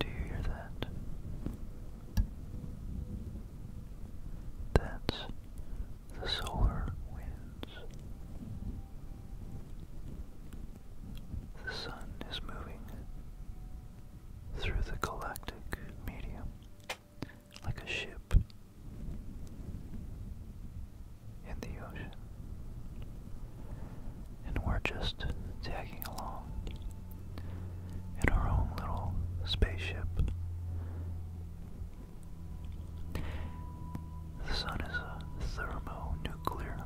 Do you hear that? That's the solar winds. The sun is moving through the galactic medium like a ship in the ocean. And we're just tagging along in our own little spaceship. The sun is a thermonuclear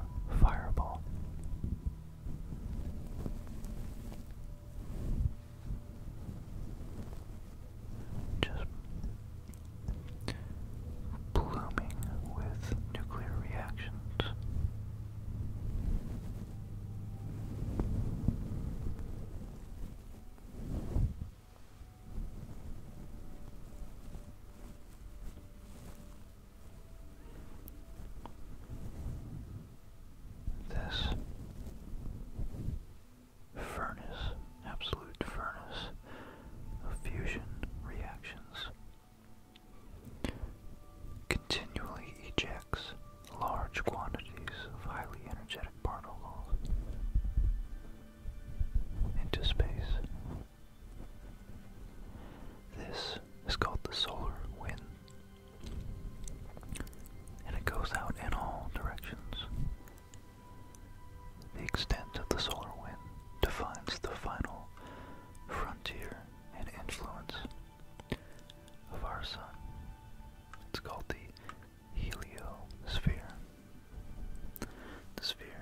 fireball just blooming with nuclear reactions. This furnace, absolute furnace of fusion reactions. Continually ejects large quantities of highly energetic particles into space. This is called the solar wind, and it goes out in all directions the extent of the solar wind defines the final frontier and influence of our sun. It's called the heliosphere. The sphere.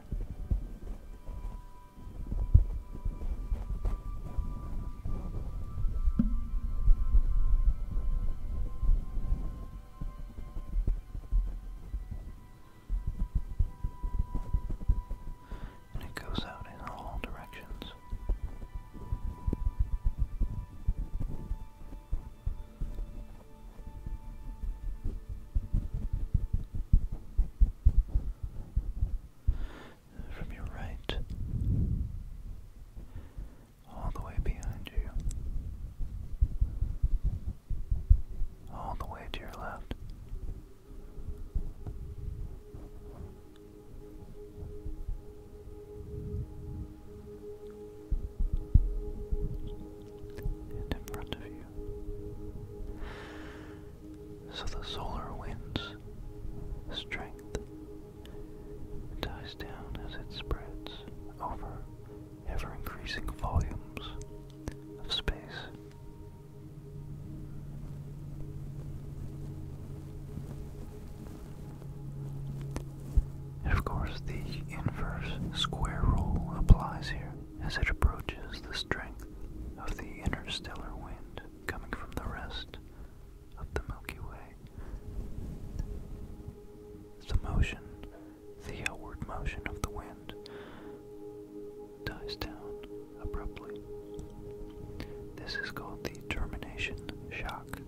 And it goes out in all directions. From your right all the way behind you, all the way to your left. And in front of you. So the solar wind's strength dies down as it spreads over ever increasing volumes of space. And of course, the inverse square rule applies here as it approaches the strength of the interstellar wind coming from the rest of the Milky Way. The motion the outward motion of the wind dies down abruptly. This is called the termination shock.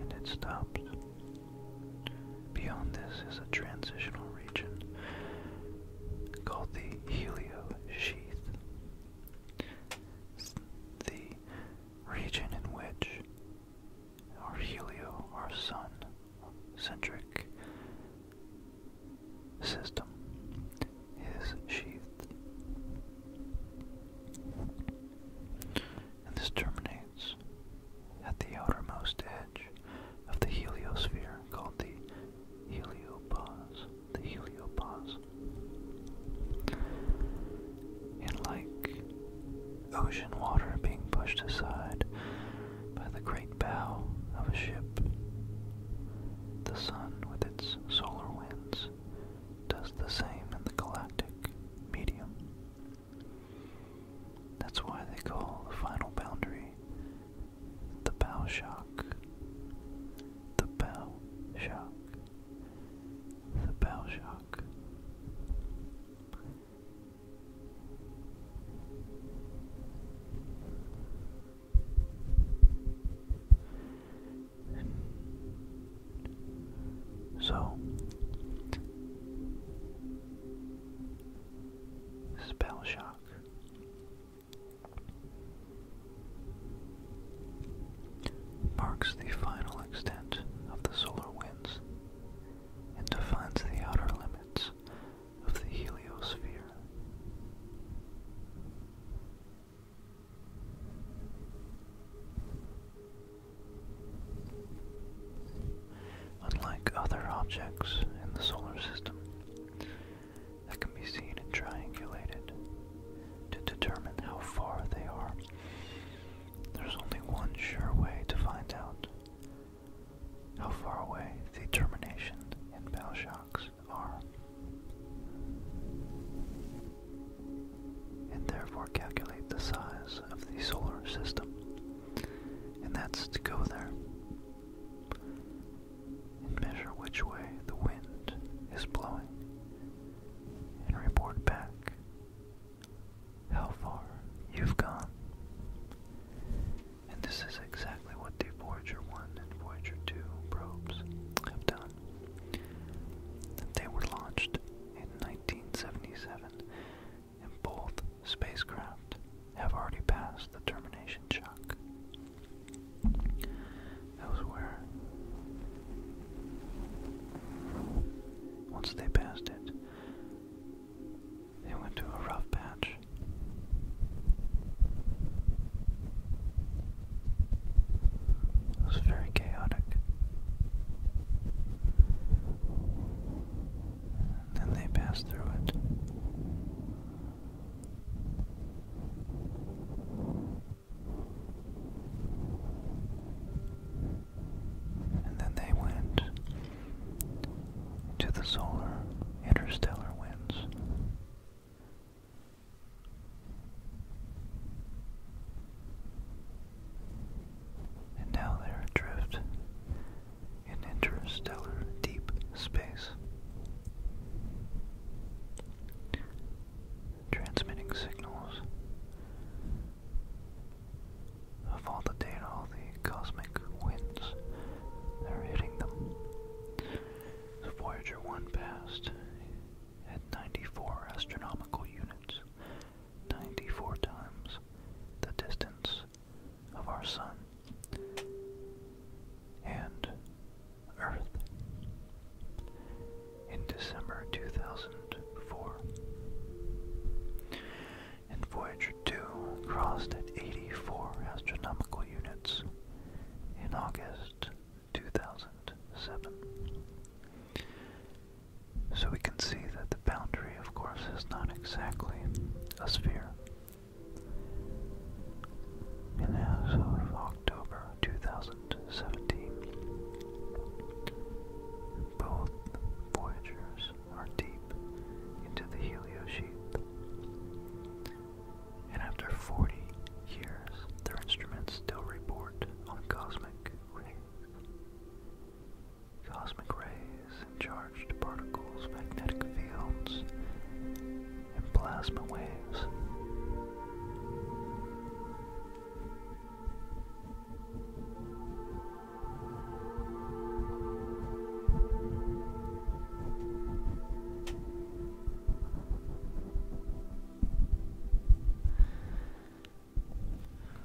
And it stops. Beyond this is a transitional region called the helio sheath. The region in which our helio, our sun centric system is sheathed. And this terminates at the outermost edge of the heliosphere called the heliopause. The heliopause. And like ocean water being pushed aside by the great bow of a ship, the sun with its solar winds does the same in the galactic medium. That's why they call the final boundary the bow shock. The bow shock the shock. so, spell shock marks the final extent of the solar winds and defines the outer limits of the heliosphere. Unlike other objects in the solar system that can be seen and triangulated to determine how far they are there's only one sure way to find out how far away the termination and bell shocks are, and therefore calculate the size of the solar system. And that's to go there and measure which way the wind is blowing and report back how far you've gone. And this is exactly what the Voyager 1 and Voyager 2 probes have done. They were launched in 1977, and both spacecraft have already passed the termination shock. where. Once they passed it, they went to a rough patch. It was very chaotic. then they passed through it. And then they went to the solar interstellar winds. And now they're adrift in interstellar deep space, transmitting signals of all the data, the cosmic winds that are hitting them. Voyager 1 passed at 94 astronomical units, 94 times the distance of our Sun and Earth in December 2004. And Voyager 2 crossed at 84 astronomical units in August 2007. So we can see that the boundary, of course, is not exactly a sphere. And as of October 2000, 2017. Both voyagers are deep into the heliosphere, and after 40 years, their instruments still report on cosmic rays. Cosmic rays and charged particles, magnetic fields, and plasma waves.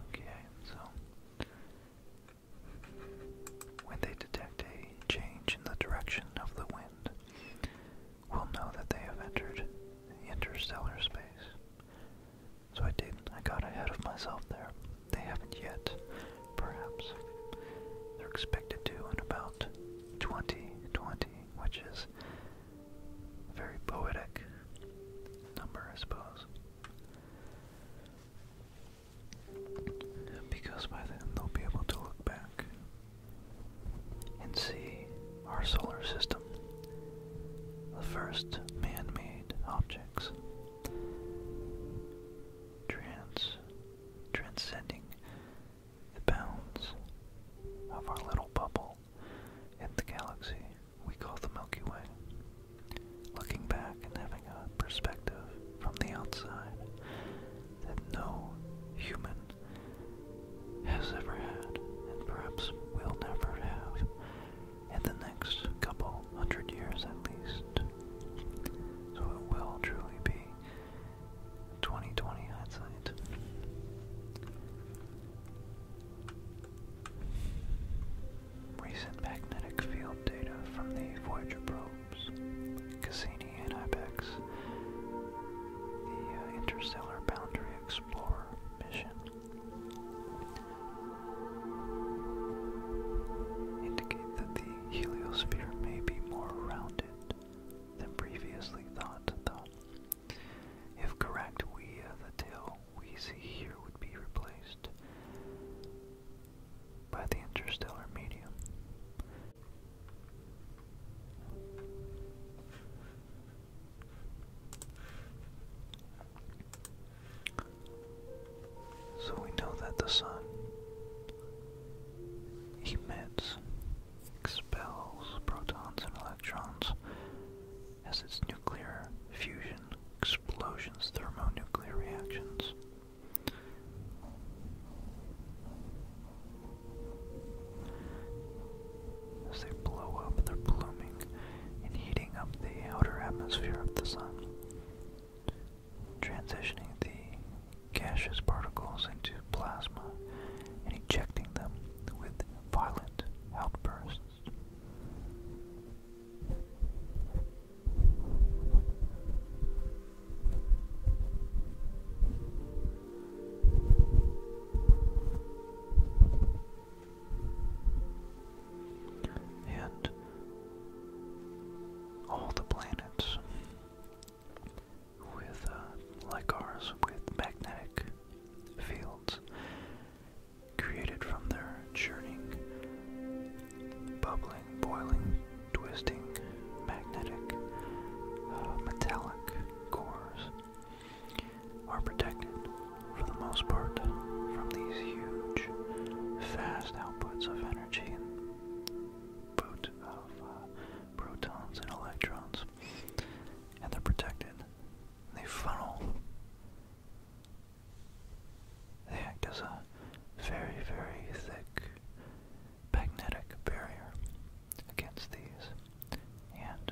Okay, so when they detect a change in the direction of the wind, we'll know that they have entered interstellar space. So I did. not I got ahead of myself there. They haven't yet, perhaps. They're expected to in about 2020, which is a very poetic number, I suppose. Because by then they'll be able to look back and see our solar system, the first man made objects, transcending the bounds of our little bubble in the galaxy we call the Milky Way. Looking back and having a perspective from the outside that no human has ever had, and perhaps will never have in the next couple hundred years at least. So it will truly be 2020 hindsight. Recent magnetic field data from the Voyager probes, Cassini and IBEX, the uh, Interstellar Boundary Explorer mission, indicate that the heliosphere may be more rounded than previously thought, though. If correct, we, uh, the tail we see here would be replaced by the interstellar medium. So we know that the sun emits, expels protons and electrons as its nuclear fusion explosions, thermonuclear reactions as they blow up, they're blooming and heating up the outer atmosphere of the sun, transitioning the gaseous particles into plasma and ejecting them with violent outbursts and all the planets with uh, like ours with magnetic fields created from their churning, bubbling, boiling, twisting magnetic uh, metallic cores are protected, for the most part, from these huge, fast outputs of energy and of uh, protons and electrons. And they're protected. They funnel. They act as a very, very thick magnetic barrier against these. And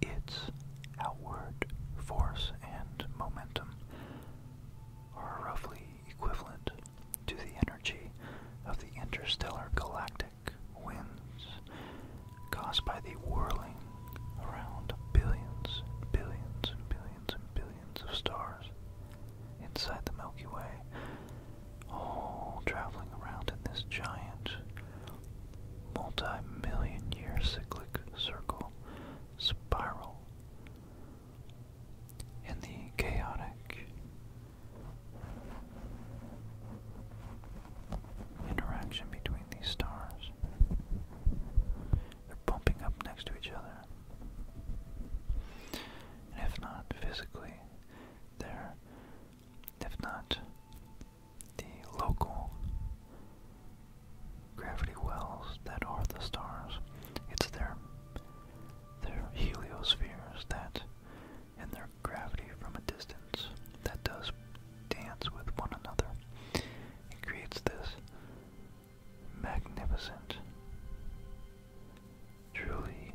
its outward force and momentum are roughly equivalent to the energy of the interstellar galactic winds caused by the whirling around billions and billions and billions and billions of stars inside the Milky Way, all traveling around in this giant multi-million year cyclic circle spiral in the chaotic interaction between these stars. They're bumping up next to each other. And if not physically, they're, if not the local gravity wells that are the stars. It's their their heliospheres that and their gravity from a distance that does dance with one another. It creates this magnificent, truly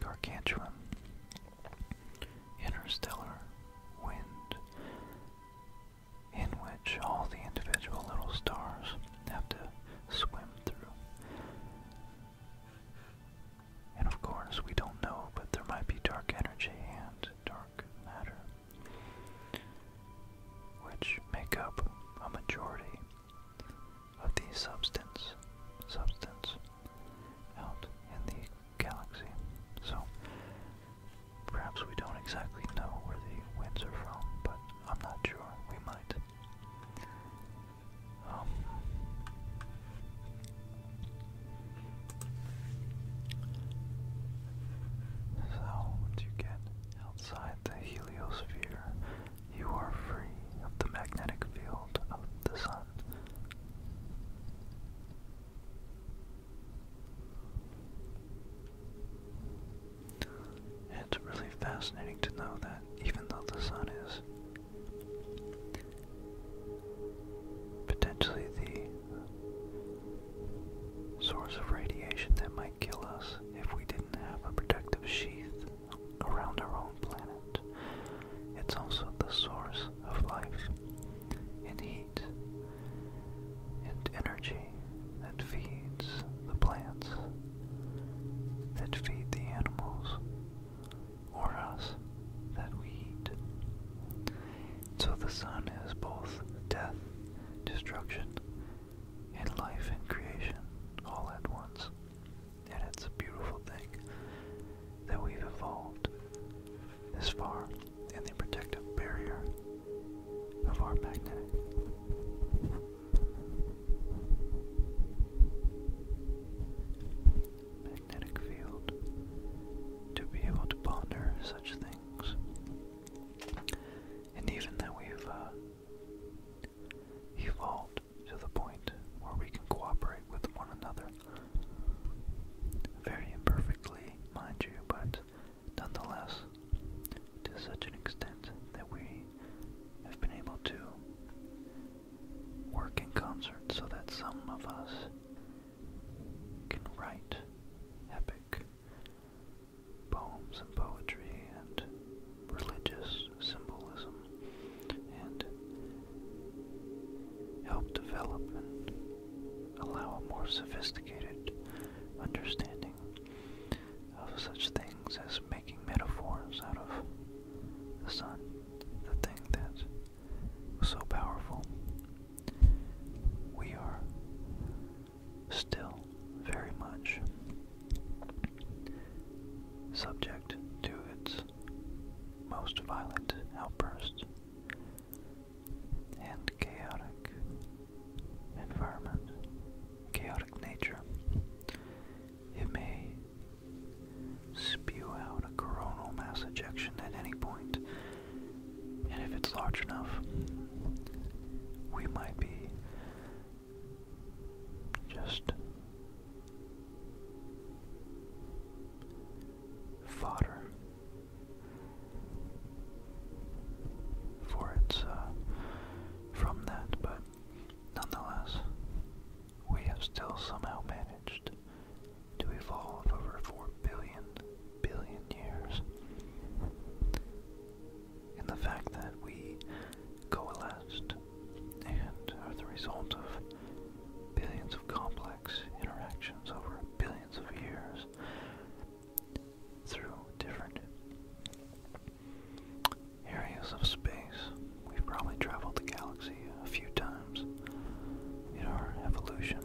gargantuan interstellar wind in which all the individual little stars have to swim through. And of course, we don't know, but there might be dark energy and dark matter, which make up a majority of the substance substance out in the galaxy. So perhaps we don't exactly know where the winds are from, but I'm not sure. We might. Um, so, once you get outside the heliosphere, you are free of the magnetic field of the sun. It's really fascinating to know that even though the sun is potentially the source of radiation that might kill us if we didn't have a protective sheath around our own planet, it's also the source of life and heat and energy that feeds the plants, that feed the animals, or us that we eat. So the sun is both death, destruction, and life and creation all at once. And it's a beautiful thing that we've evolved this far and the protective barrier of our magnetic magnetic field to be able to ponder such things. And even that we've uh, evolved to the point where we can cooperate with one another. Very imperfectly, mind you, but nonetheless, to such an extent that we have been able to work in concert so that some of us can write epic poems and poetry and religious symbolism and help development allow a more sophisticated understanding of such things as making metaphors out of the sun, the thing that is so powerful. We are still very much subject to its most violent outbursts and chaotic environment, chaotic nature, it may spew out a coronal mass ejection at any point, and if it's large enough, we might be just fodder for its uh, from that, but nonetheless, we have still somehow managed to evolve over four billion billion years. In the fact that we coalesced and are the result of billions of complex interactions over billions of years through different areas of space. We've probably traveled the galaxy a few times in our evolution.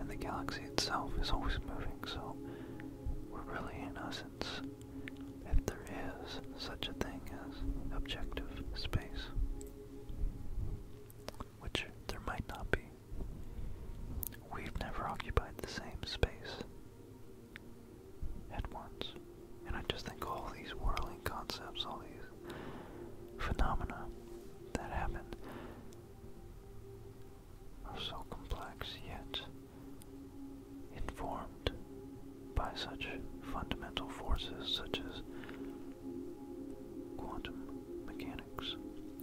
And the galaxy itself is always moving, so we're really, in essence, if there is such a thing as objective space, which there might not be. We've never occupied the same space at once. And I just think all these whirling concepts, all these phenomena that happen are so complex yet informed by such fundamental forces such as quantum mechanics,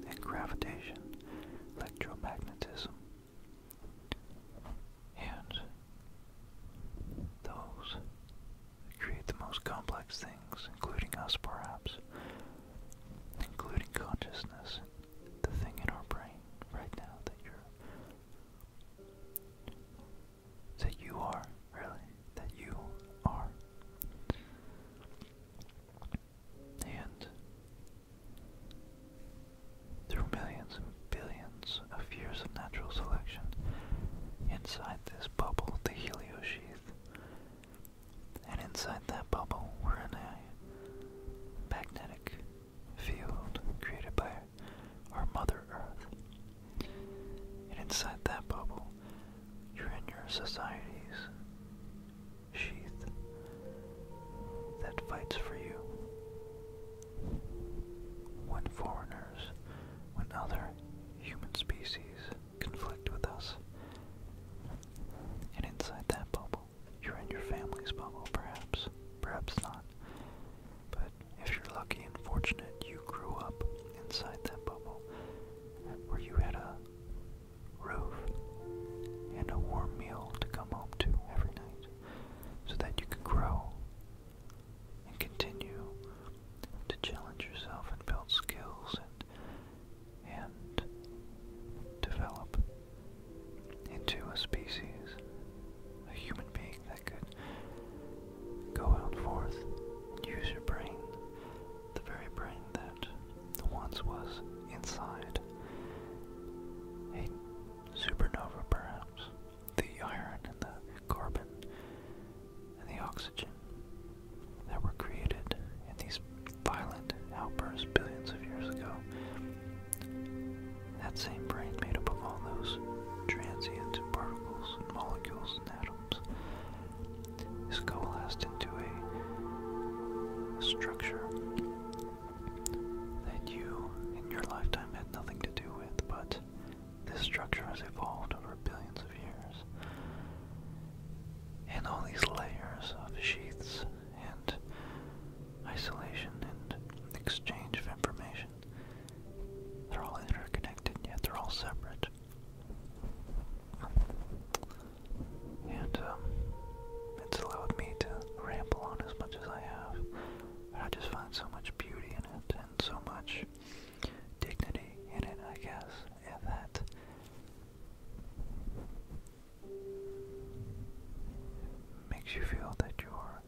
and gravitation, electromagnetism. And those create the most complex things, including us perhaps, including consciousness, the thing in our brain right now that you that you are, really, that you are and through millions and billions of years of natural selection, inside this bubble, the heliosheath, and inside that bubble, we're in a magnetic field created by our Mother Earth. And inside that bubble, you're in your society's sheath that fights for you. When foreigners, when other human species conflict with us, and inside that bubble, you're in your family's bubble, perhaps, perhaps not. But if you're lucky and fortunate, you grew up inside that bubble where you had a roof, and a warm meal to come home to every night so that you can grow and continue to challenge yourself and build skills and, and develop into a species, a human being that could go out forth use your brain the very brain that once was inside a supernova, perhaps. The iron and the carbon and the oxygen that were created in these violent outbursts billions of years ago. That same brain made up of all those transient particles and molecules and atoms is coalesced into a structure that you in your lifetime had nothing to do with, but this structure has evolved over billions of years. And all these layers of sheaths and isolation and exchange of information, they're all interconnected, yet they're all separate. And um, it's allowed me to ramble on as much as I have. And I just find so much beauty in it and so much dignity in it, I guess, and that makes you feel that you're,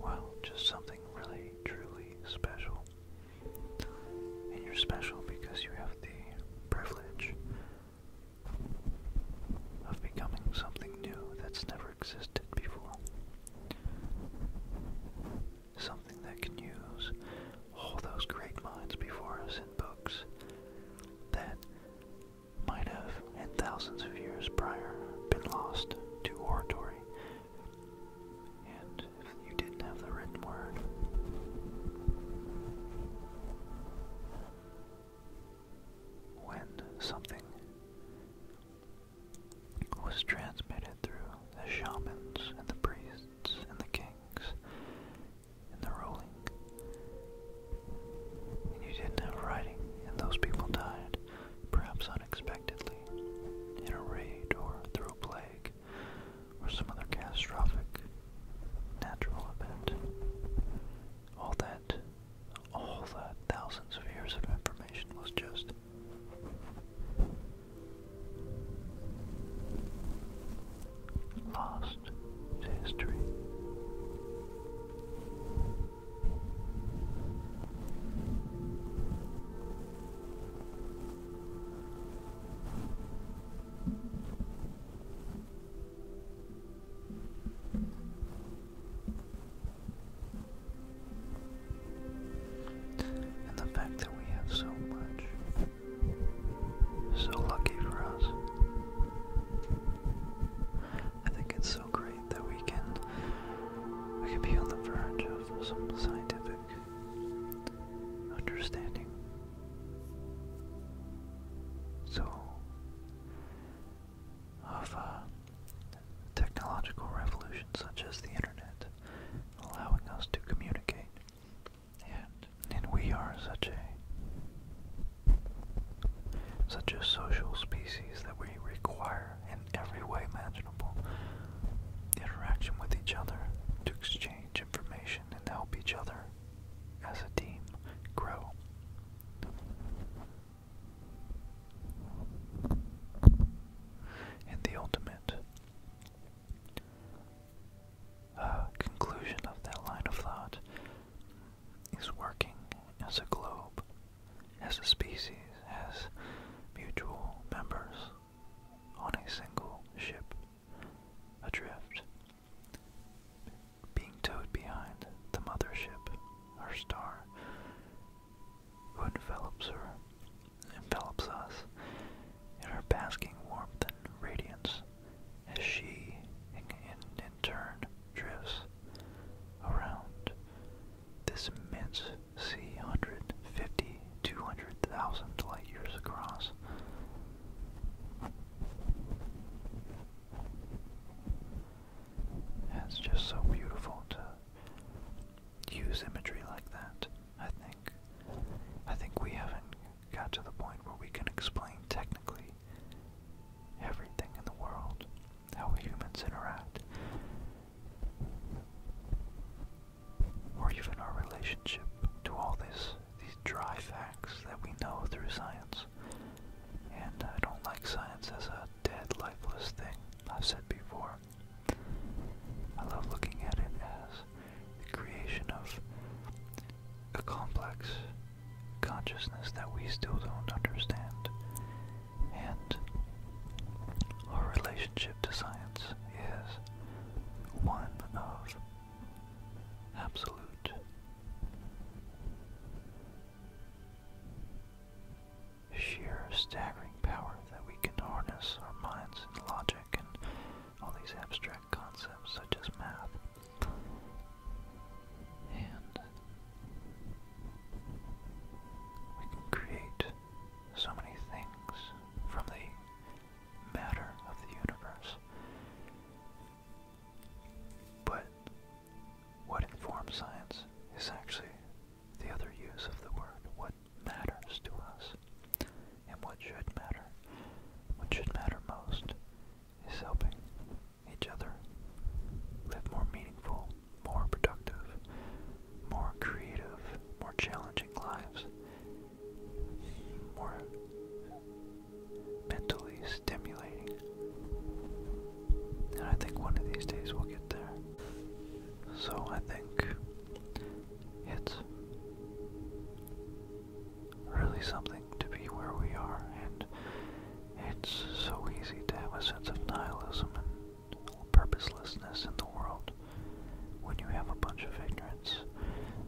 well, just something really, truly special. And you're special because you have the privilege of becoming something new that's never existed before. Something that can use all those great minds before us in books that might have, in thousands of years prior, been lost to oratory and if you didn't have the written word, when something was transmitted through the shamans and the priests and the kings and the ruling, and you didn't have writing, and those people died, perhaps unexpectedly, in a raid or through a plague or some other catastrophic natural event. All that, all that thousands of years of information was just lost to history. And the fact that we have so much, so lucky for us. I think it's so great that we can we can be on the verge of some scientific understanding. So, of uh, technological revolutions such as the internet allowing us to communicate, and and we are such a such a social species that we require in every way imaginable interaction with each other to exchange information and help each other as a team grow. And the ultimate uh, conclusion of that line of thought is working as a globe, as a species, as mutual members on a single ship adrift, being towed behind the mothership, our star, who envelops her, envelops us in her basking warmth and radiance, as she, in, in turn, drifts around this immense see 150, light years across. it's just so beautiful to use imagery like that, I think. I think we haven't got to the point where we can explain technically everything in the world, how humans interact or even our relationship to all this, these dry facts that we know through science. And I don't like science as a dead, lifeless thing, I've said before. I love looking at it as the creation of a complex consciousness that we still don't understand. And our relationship to science is one of absolute sheer staggering power that we can harness our minds and logic and all these abstract concepts such as math. And we can create so many things from the matter of the universe. But what informs science is actually the other use of the word, what matters to us and what should matter. What should matter most is helping each other live more meaningful, more productive, more creative, more challenging lives more mentally stimulating. And I think one of these days we'll get there. So I think it's really something to be where we are, and it's so easy to have a sense of nihilism and purposelessness in the world when you have a bunch of ignorance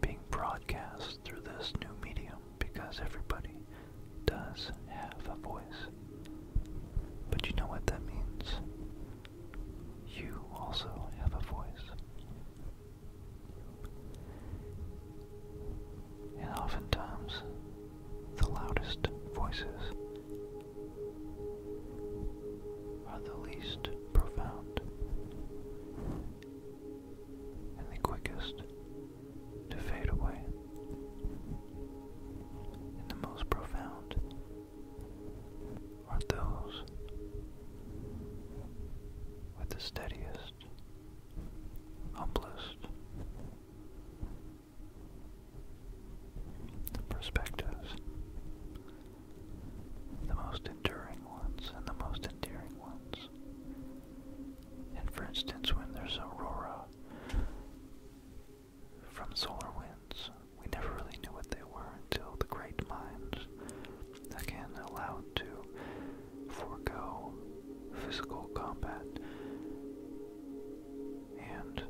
being broadcast through this new medium because everybody does have a voice. But you know what that means? You also have a voice. And oftentimes, the loudest voices are the least profound and the quickest to fade away. And the most profound are those with the steadiest, humblest perspectives the most enduring ones and the most endearing ones. And for instance, when there's aurora from solar winds, we never really knew what they were until the great minds, again allowed to forego physical combat and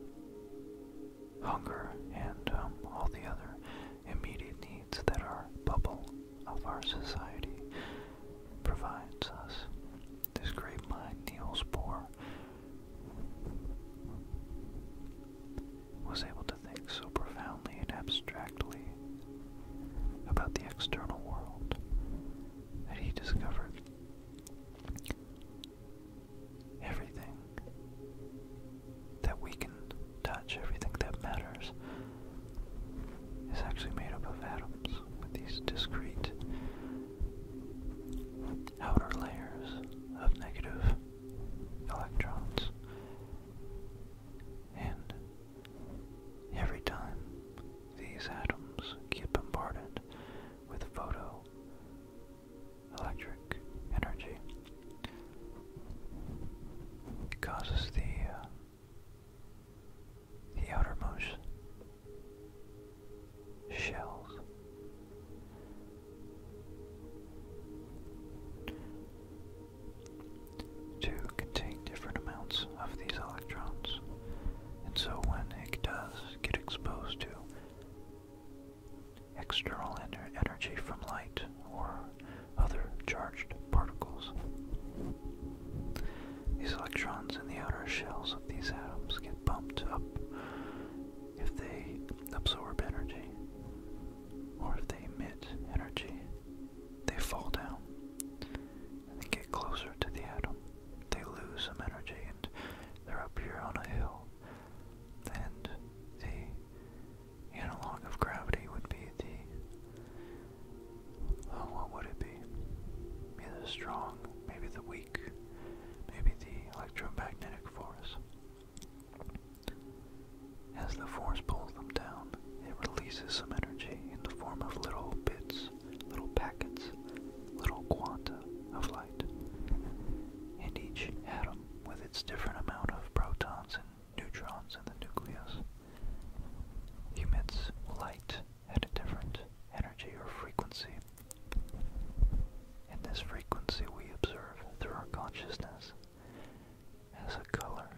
hunger and um, all the other immediate needs that our bubble of our society provides us. This great mind, Niels Bohr, was able to think so profoundly and abstractly about the external world that he discovered everything that we can touch, everything that matters, is actually made up of atoms with these discrete outer layers of negative electrons. And every time these atoms get bombarded with photoelectric energy, it causes the uh, the outermost shells to contain different amounts of these electrons. And so when it does get exposed to external energy from light or other charged particles. These electrons in the outer shells of these atoms get bumped up if they absorb energy, or if they emit energy, they fall down and they get closer to the atom. They lose some energy and they're up here on a hill, and the analog of gravity would be the. Oh, what would it be? Maybe the strong, maybe the weak, maybe the electromagnetic force. As the force pulls them down, it releases some energy in the form of little bits, little packets, little quanta of light. And each atom, with its different amount of protons and neutrons in the nucleus emits light at a different energy or frequency. And this frequency we observe through our consciousness as a color.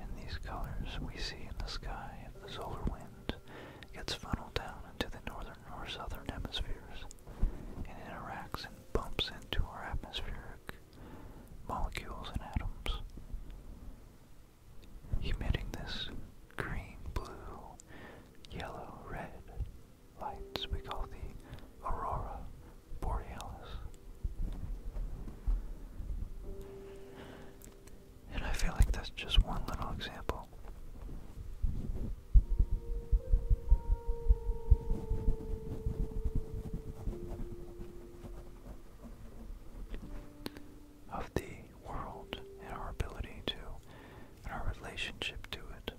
And these colors we see in the sky if the solar wind gets funneled down into the northern or southern hemispheres and interacts in bumps into our atmospheric molecules and atoms, emitting this green, blue, yellow, red lights we call the aurora borealis. And I feel like that's just one little example of the world and our ability to, and our relationship to it.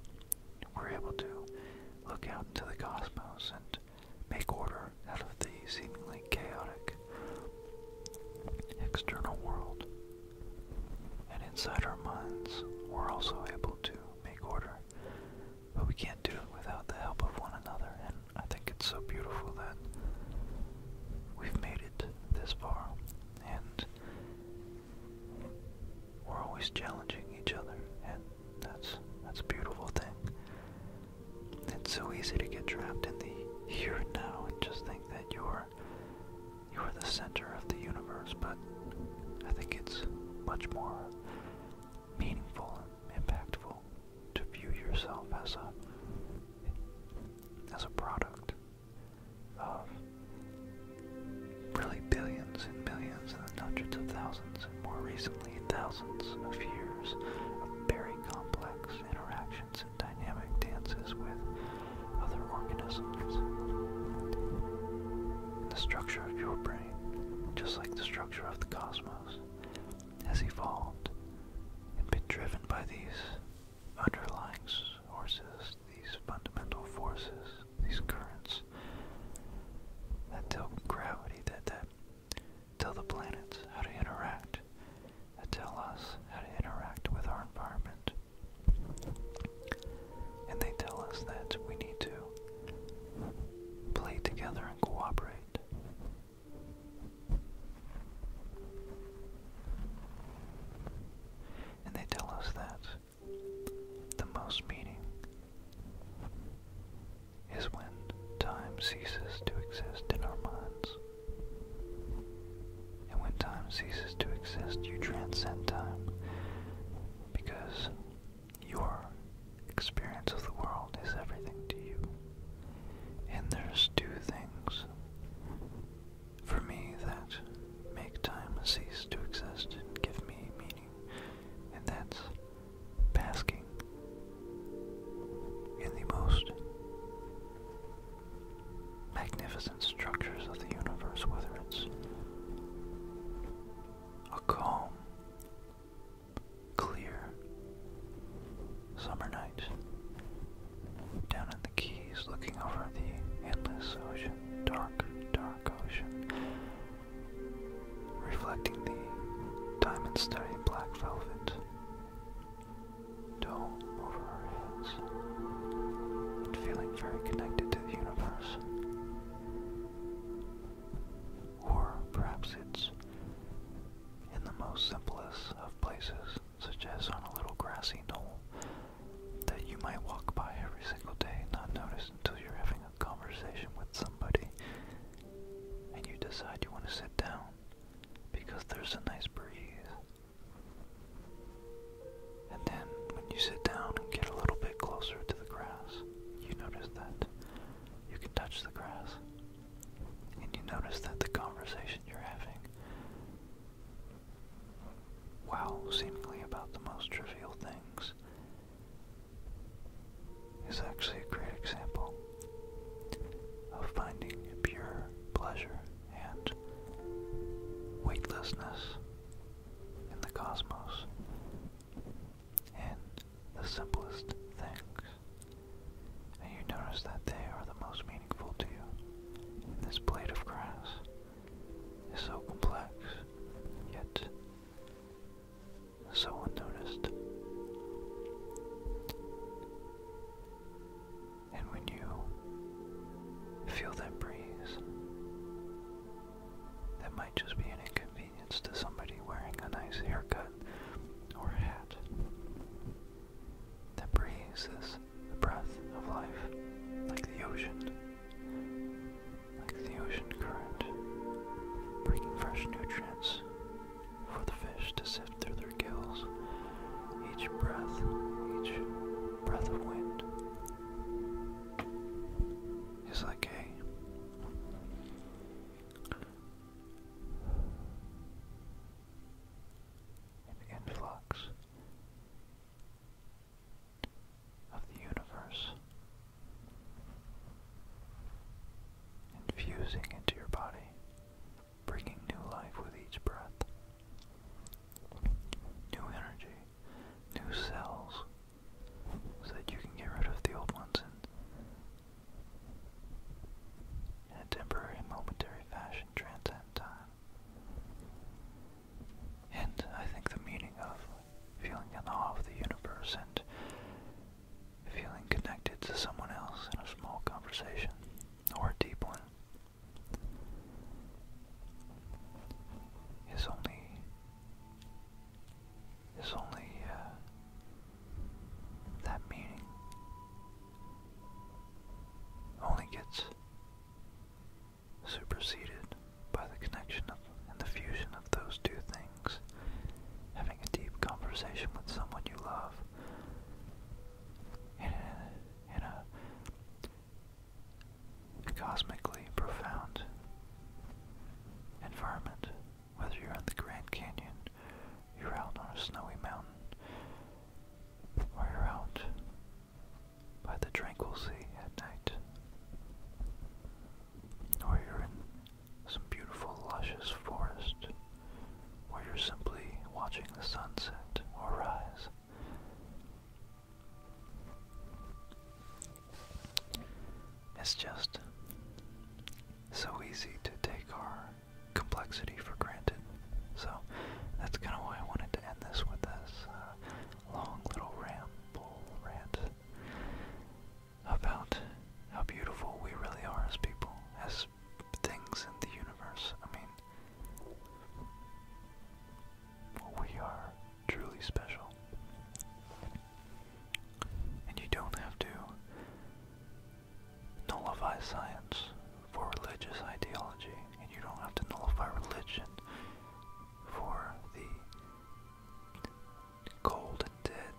We're able to look out into the cosmos and make order out of the seemingly chaotic external world. And inside our minds, we're also able to make order but we can't do it without the help of one another, and I think it's so beautiful that we've made it this far, and we're always challenging each other, and that's that's a beautiful thing. It's so easy to get trapped in the here and now and just think that you're you're the center of the universe, but I think it's much more meaningful and impactful to view yourself as a as a product of really billions and billions and hundreds of thousands and more recently thousands of years of very complex interactions and dynamic dances with other organisms. The structure of your brain just like the structure of the cosmos has evolved and been driven by these underlying forces, these fundamental forces, these currents that tell gravity that that tell the planets how to interact, that tell us how to interact with our environment and they tell us that we need to play together and cooperate. And they tell us that the most meaning is when time ceases to exist in our minds. And when time ceases to exist, you transcend time because your experience of the world is everything to you. And there's two things for me that make time cease to exist and give me meaning, and that's basking in the most magnificent structures of the universe, whether it's a calm, clear summer night down in the Keys looking over the endless ocean, dark, dark ocean, reflecting the diamond-studded black velvet dome over our heads and feeling very connected to the universe. Or perhaps it's in the most simplest of places, such as on a little grassy knoll that you might walk by every single day and not notice until you're having a conversation with somebody and you decide you want to sit down because there's a nice breeze. And then when you sit down and get a little bit closer to the grass, you notice that you can touch the grass. And you notice that the conversation you're having, wow, seemingly about the most trivial things, is actually a great example of finding pure pleasure and weightlessness in the cosmos. And the simplest things. And you notice that they are the most meaningful to you. this blade of grass is so complex, yet so unnoticed. And when you feel that breeze, that might just be an inconvenience inconvenience to somebody wearing a nice haircut or hat. that breathes is the breath of life, like the ocean, like the ocean current, bringing fresh nutrients for the fish to sift through their gills. Each breath, each breath of wind is like a an influx of the universe infusing into your body, bringing new life with each breath, new energy, new cells so that you can get rid of the old ones and in a temporary momentary fashion transcend time. And I think the meaning of feeling in awe of the universe and feeling connected to someone else in a small conversation or a deep one is only is only uh, that meaning only gets superseded by the connection of and the fusion of those two things. Having a deep conversation with someone you love in a cosmically profound environment whether you're in the Grand Canyon, you're out on a snowy mountain, or you're out by the tranquil sea at night, or you're in some beautiful, luscious forest, or you're simply watching the sunset or rise. It's just so easy to take our complexity for granted. So that's kind of why I wanted to end this with this uh, long little ramble rant about how beautiful we really are as people, as things in the universe. I mean, we are truly special. And you don't have to nullify science for religious ideology, and you don't have to nullify religion for the cold dead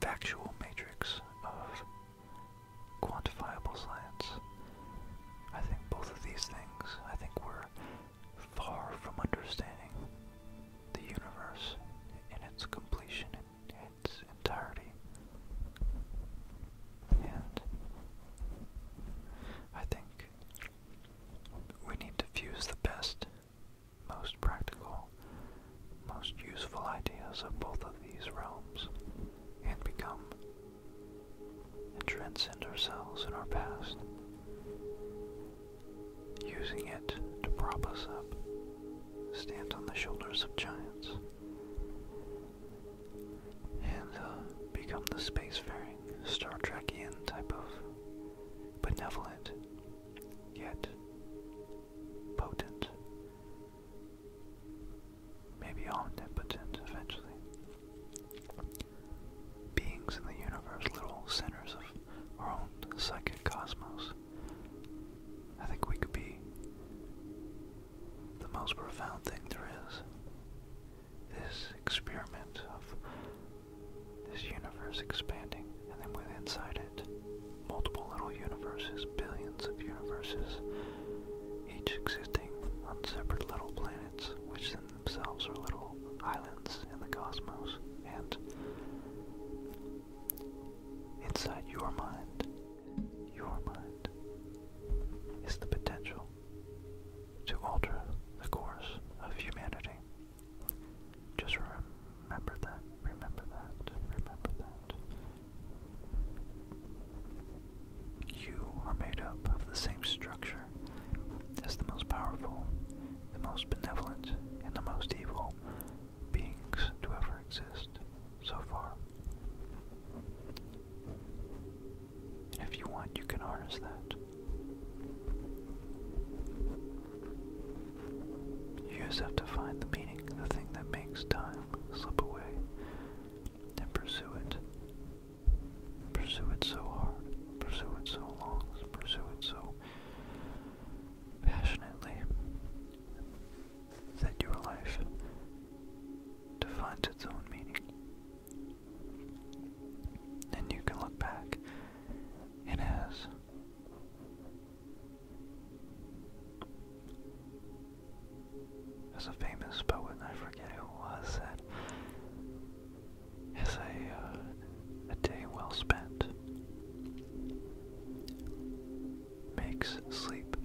factual matrix of quantifiable science. I think both of these things, I think we're far from understanding the universe in its completion, and its entirety. And I think we need to fuse the best, most practical, most useful ideas of both of these realms and become and transcend ourselves and our past, using it to prop us up, stand on the shoulders of giants, and uh, become the space-faring Star Trekian type of benevolent, yet potent, maybe omnipotent eventually beings in the universe, little centers of our own psychic cosmos. I think we could be the most profound thing there is. This experiment of this universe expanding, and then with inside it, multiple little universes, billions of universes, each existing on separate little planets, which then themselves are little islands in the cosmos, and inside your mind, your mind, is the potential to alter the course of humanity. Just remember that, remember that, remember that. You are made up of the same structure nature as the most powerful, the most benevolent, and the most evil beings to ever exist so far. And if you want, you can harness that. You just have to find the meaning, the thing that makes time slip away, and pursue it Pursue it so hard, pursue it so long, pursue it so passionately that your life defines its own meaning. And you can look back, it has. As a famous poet, I forget who was, said, as a, uh, a day well spent. Makes sleep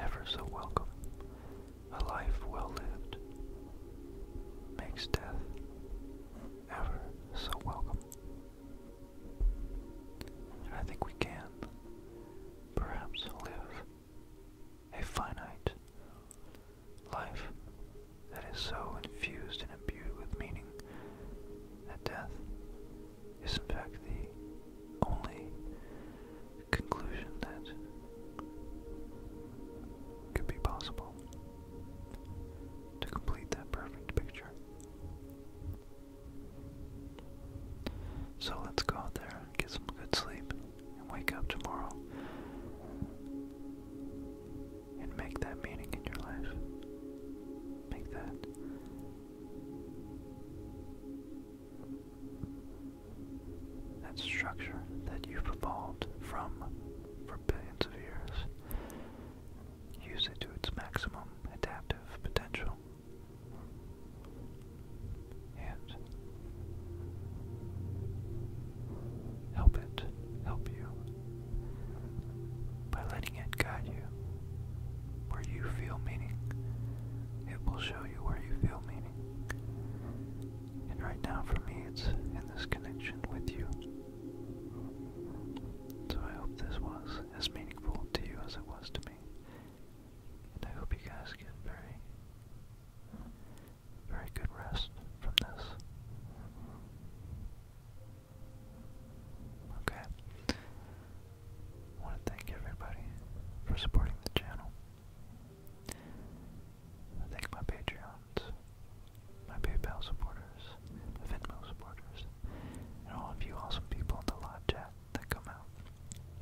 ever so welcome. A life well lived makes death ever so welcome. And I think we can perhaps live a finite life that is so infused and imbued with meaning that death is in fact the only conclusion that could be possible to complete that perfect picture. So let's go out there, and get some good sleep, and wake up tomorrow and make that meaning in your life. Make that. That structure that you've evolved from for billions of years. Use it to its maximum adaptive potential and help it help you by letting it guide you where you feel meaning. It will show you where you feel meaning. And right now, for me, it's in this connection with you. So I hope this was as meaningful to you as it was to me. And I hope you guys get very very good rest from this. Okay. want to thank everybody for supporting the channel. thank my Patreons, my PayPal supporters, Venmo supporters, and all of you awesome people in the live chat that come out